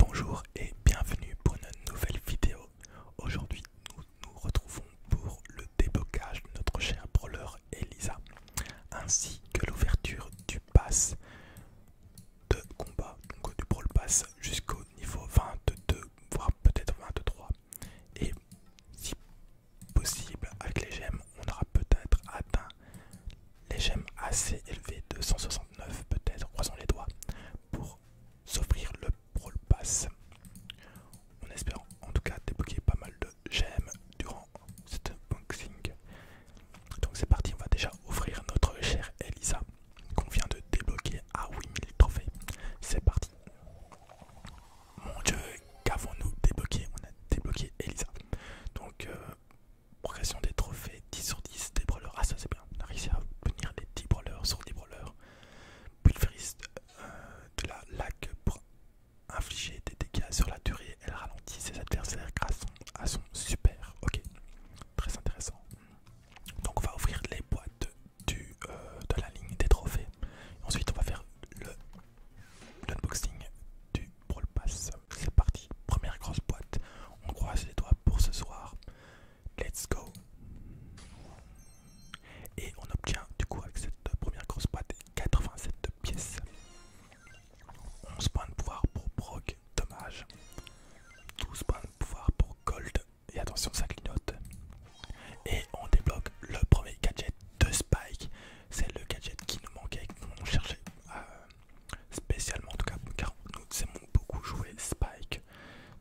Bonjour et bienvenue pour une nouvelle vidéo. Aujourd'hui, nous nous retrouvons pour le déblocage de notre cher brawler Elisa, ainsi que l'ouverture du pass de combat, donc du brawl pass jusqu'au niveau 22, voire peut-être 23. Et si possible, avec les gemmes, on aura peut-être atteint les gemmes assez élevées, 269 peut-être, croisons les doigts, pour s'offrir le Brawl Pass. On espère en tout cas débloquer pas mal de gemmes durant cette boxing. Donc c'est parti, on va déjà offrir notre chère Elisa qu'on vient de débloquer à ah 8000 trophées. C'est parti. Mon dieu, qu'avons-nous débloqué On a débloqué Elisa. Donc euh, Progression des trophées 10 sur 10 des brawlers. Ah, ça c'est bien. On a réussi à obtenir des 10 brawlers sur 10 brawlers. le euh, de la lac pour infliger des dégâts sur la durée. Elle ralentit ses adversaires grâce à son super. Ok, très intéressant. Donc, on va ouvrir les boîtes du, euh, de la ligne des trophées. Ensuite, on va faire le l'unboxing du pour le Pass. C'est parti, première grosse boîte. On croise les doigts pour ce soir. Let's go! Et on obtient du coup avec cette première grosse boîte 87 pièces. 11 points de pouvoir pour Proc, dommage. 12 points de pouvoir pour Gold, et attention ça clignote. Et on débloque le premier gadget de Spike. C'est le gadget qui nous manquait, qu'on cherchait spécialement en tout cas car nous aimons beaucoup jouer Spike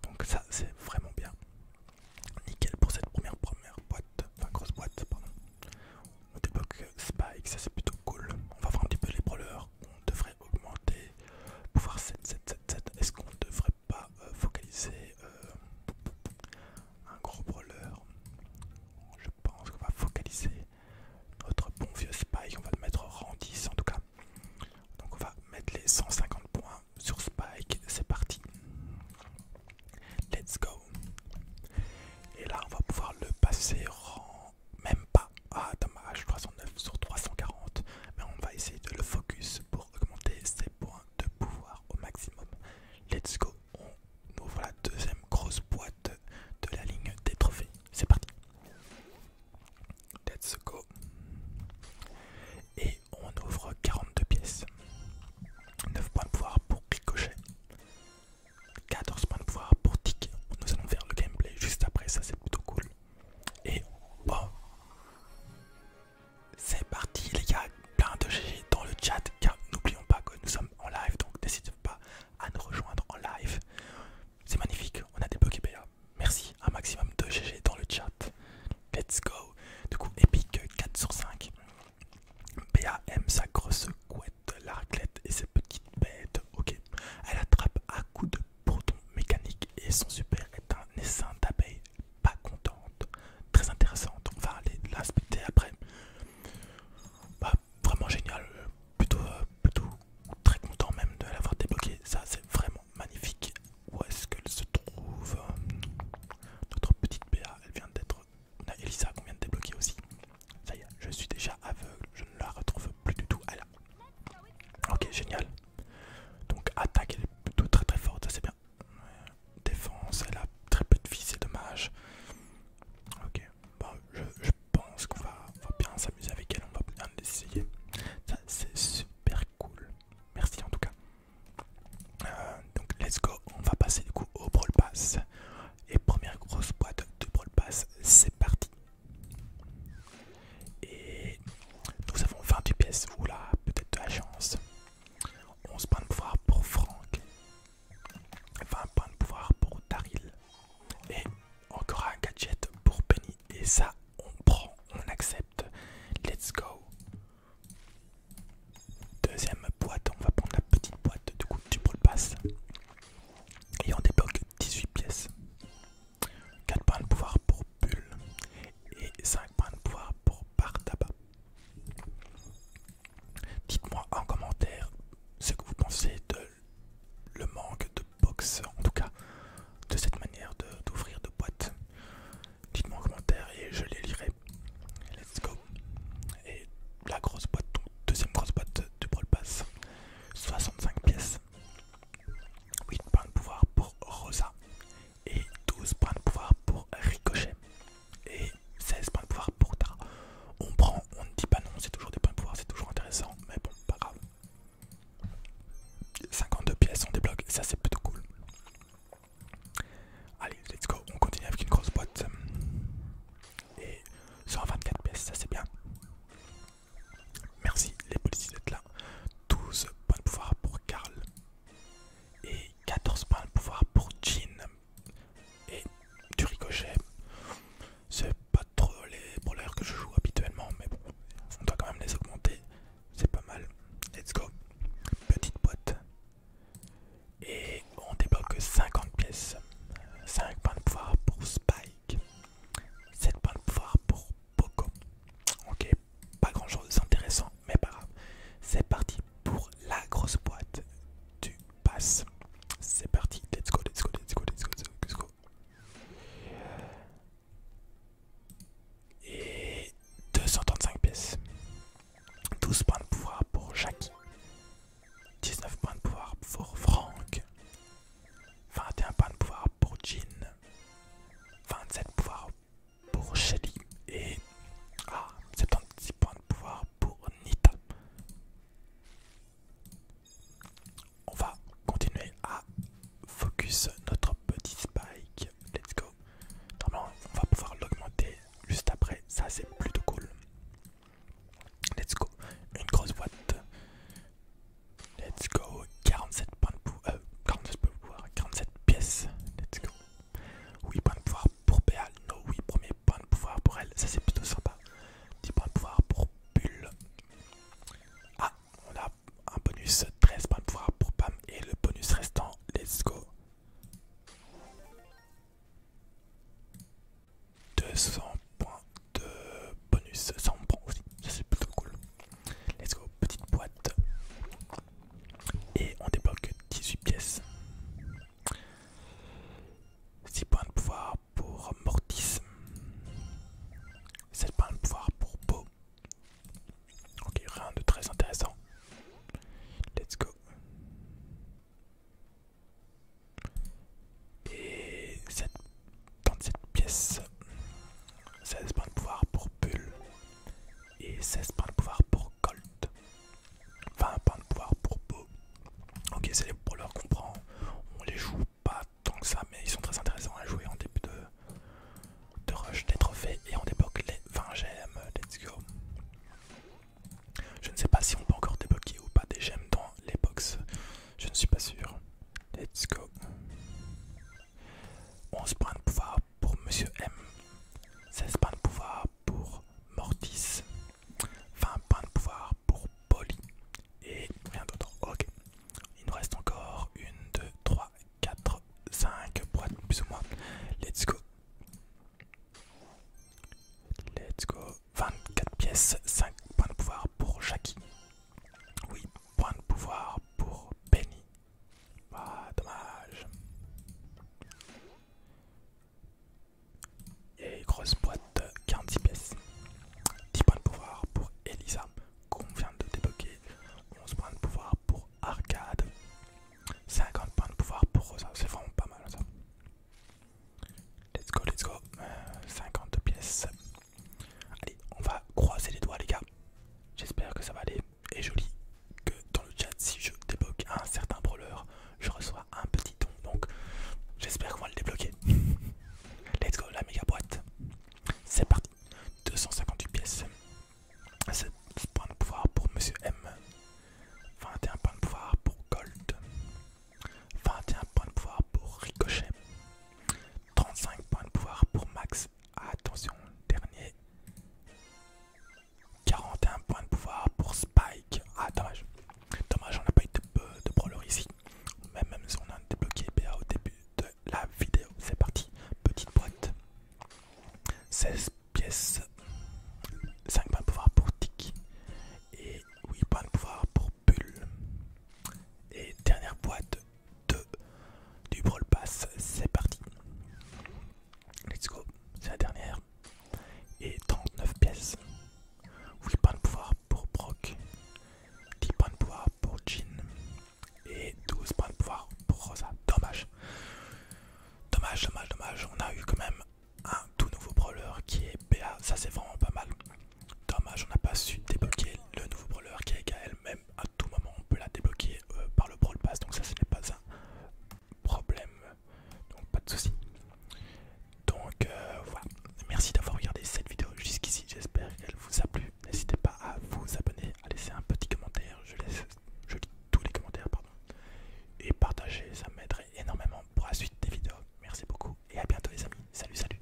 donc ça c'est vraiment bien nickel pour cette première première boîte enfin grosse boîte pardon on débloque Spike ça c'est plutôt cool on va voir un petit peu les brawlers on devrait augmenter pouvoir 7 7 7 est-ce qu'on devrait pas euh, focaliser euh, un gros brawler je pense qu'on va focaliser notre bon vieux Spike, on va le mettre rang 10 en tout cas. Donc on va mettre les 150 points sur Spike, c'est parti. Let's go. Et là on va pouvoir le passer rang... même pas. Ah dommage, 309 sur 340. Mais on va essayer de le focus pour augmenter ses points de pouvoir au maximum. Let's go. On ouvre la deuxième grosse boîte de la ligne des trophées. C'est parti. Let's go. Et on ouvre 42 pièces. 9 points de pouvoir pour Ricochet. 14 points de pouvoir pour Tic. Nous allons faire le gameplay juste après, ça c'est plutôt cool. Et bon. C'est parti les gars, plein de GG dans le chat car n'oublions pas que nous sommes en live donc n'hésitez pas à nous rejoindre en live. C'est magnifique, on a des bugs Merci, un maximum de GG dans le chat. Let's go. Du coup, Epic 4 sur 5. Béa aime sa grosse couette, la raclette et ses petites bêtes. Ok. Elle attrape à coups de protons mécanique et son super est un essaim d'abeille pas contente. Très intéressante. On va aller l'inspecter après. Bah, vraiment génial, plutôt, euh, plutôt très content même de l'avoir débloqué, ça c'est vraiment magnifique. Où est-ce qu'elle se trouve Notre petite ba elle vient d'être... On a Elisa qu'on vient de débloquer aussi. Ça y est, je suis déjà aveugle, je ne la retrouve plus du tout. Elle Ok, génial. Donc attaque, elle est plutôt très très forte, ça c'est bien. Défense, elle a très peu de vie, c'est dommage. Ok, bon, bah, je, pense qu'on va, bien s'amuser avec elle, on va bien l'essayer. Ça c'est super cool. Merci en tout cas. Euh, donc let's go, on va passer du coup au Brawl Pass. Et première grosse boîte de Brawl Pass, c'est parti. Et nous avons 28 pièces, oula, peut-être de la chance. 11 points de pouvoir pour Franck. 20 points de pouvoir pour Daryl. Et encore un gadget pour Penny. Et ça, on prend, on accepte. Let's go. Deuxième boîte, on va prendre la petite boîte du coup du le pass. Et on débloque 18 pièces. 4 points de pouvoir pour Bull. Et 5 points de pouvoir pour Bar Dites-moi en commentaire ce que vous pensez de le manque de box, en tout cas de cette manière d'ouvrir de, boîtes. Dites-moi en commentaire et je les lirai. Let's go. Et la grosse boîte, deuxième grosse boîte du Brawl Pass, 65 pièces, 8 points de pouvoir pour Rosa et 12 points de pouvoir pour Ricochet et 16 points de pouvoir pour Tara. On prend, on ne dit pas non, c'est toujours des points de pouvoir, c'est toujours intéressant, mais bon, pas grave. 52 pièces, on débloque, ça c'est plutôt cool. Allez, let's go, on continue avec une grosse boîte. Et 124 pièces, ça c'est bien. Merci les policiers d'être là. 12 points de pouvoir pour Karl. Et 14 points de pouvoir pour Jean et du ricochet. C'est pas trop les brawlers que je joue habituellement, mais bon, on doit quand même les augmenter. C'est pas mal. Let's go. Petite boîte. Et on débloque 50 pièces. 5 points de pouvoir pour Spike. 7 points de pouvoir pour Poco. Ok, pas grand chose d'intéressant, mais pas grave. C'est parti pour la grosse boîte du pass. C'est parti, let's go, let's go, let's go, let's go, let's go. Et 235 pièces. 12 points de pouvoir pour Jackie. 19 points de pouvoir pour Franck. 21 points de pouvoir pour Jean. 27 pouvoirs pour Shelly et 76 ah, points de pouvoir pour Nita. On va continuer à focus notre petit spike. Let's go. Normalement, on va pouvoir l'augmenter juste après. Ça, c'est plutôt cool. Let's go. Une grosse boîte. Let's go. 47 euh, points de pouvoir. Euh, 47 points de pouvoir. 47 pièces. Let's go. Oui, point de pouvoir pour PA, Non, oui, premier point de pouvoir pour elle. Ça, c'est plutôt sympa. 10 points de pouvoir pour Bulle. Ah, on a un bonus 13 points de pouvoir pour Pam. Et le bonus restant, let's go. 200 points de bonus. 100 points aussi. Ça, c'est plutôt cool. Let's go. Petite boîte. Et on débloque 18 pièces. 6 points de pouvoir pour Mortis. 7 points de pouvoir pour Beau. Ok, rien de très intéressant. Let's go. Et 7, 37 pièces. 16 points de pouvoir pour Pull et 16 points de pouvoir pour Colt. 20 points de pouvoir pour Beau. Ok, c'est les brawlers qu'on prend. On les joue pas tant que ça, mais ils sont très intéressants à jouer en début de, rush des trophées et on débloque les 20 gemmes. Let's go. Je ne sais pas si on peut encore débloquer ou pas des gemmes dans les box. Je ne suis pas sûr. Let's go. 11 points de pouvoir pour Monsieur M, 16 points de pouvoir pour Mortis, 20 points de pouvoir pour Polly et rien d'autre. Ok, il nous reste encore 1, 2, 3, 4, 5 boîtes plus ou moins. Let's go. Let's go. 24 pièces, 5 points de pouvoir pour Jackie. oui, points de pouvoir pour Benny ah, dommage. Et grosse boîte, 40 pièces. 10 points de pouvoir pour Elisa, qu'on vient de débloquer. 11 points de pouvoir pour Arcade. 50 points de pouvoir pour Rosa, c'est vraiment pas mal ça. Let's go, let's go. 50 euh, pièces. Allez, on va croiser les doigts les gars. J'espère que ça va aller. Et joli. que dans le chat, si je débloque un certain brawler, je reçois un petit don. Donc j'espère qu'on va le débloquer. Let's go, la méga boîte. C'est parti. 258 pièces. 7 points de pouvoir pour Monsieur M. 21 points de pouvoir pour Gold. 21 points de pouvoir pour Ricochet. 35 points de pouvoir pour Max. Attention, dernier. 41 points de pouvoir pour Spike. Ah, dommage. Dommage, on n'a pas eu de, euh, de brawler ici. Même, même si on a débloqué B.A. au début de la vidéo. C'est parti. Petite boîte. 16 pièces. 5 points de pouvoir pour tic Et 8 points de pouvoir pour Bull. Et dernière boîte. 2 du Brawl Pass. C'est parti. Let's go. C'est la dernière. Et 39 pièces. 8 points de pouvoir pour Brock. 10 points de pouvoir pour Jean. Et 12 points de pouvoir pour Rosa. Dommage. Dommage, dommage, dommage. On a eu quand même un tout nouveau brawler qui est BA. Ça c'est vraiment pas mal. Dommage, on n'a pas su débloquer le nouveau brawler qui est elle même à tout moment on peut la débloquer euh, par le brawl pass donc ça ce n'est pas un problème donc pas de souci. Donc euh, voilà, merci d'avoir regardé cette vidéo jusqu'ici, j'espère qu'elle vous a plu. N'hésitez pas à vous abonner, à laisser un petit commentaire, je, laisse, je lis tous les commentaires pardon. Et partager, ça m'aiderait énormément pour la suite des vidéos. Merci beaucoup et à bientôt les amis. Salut salut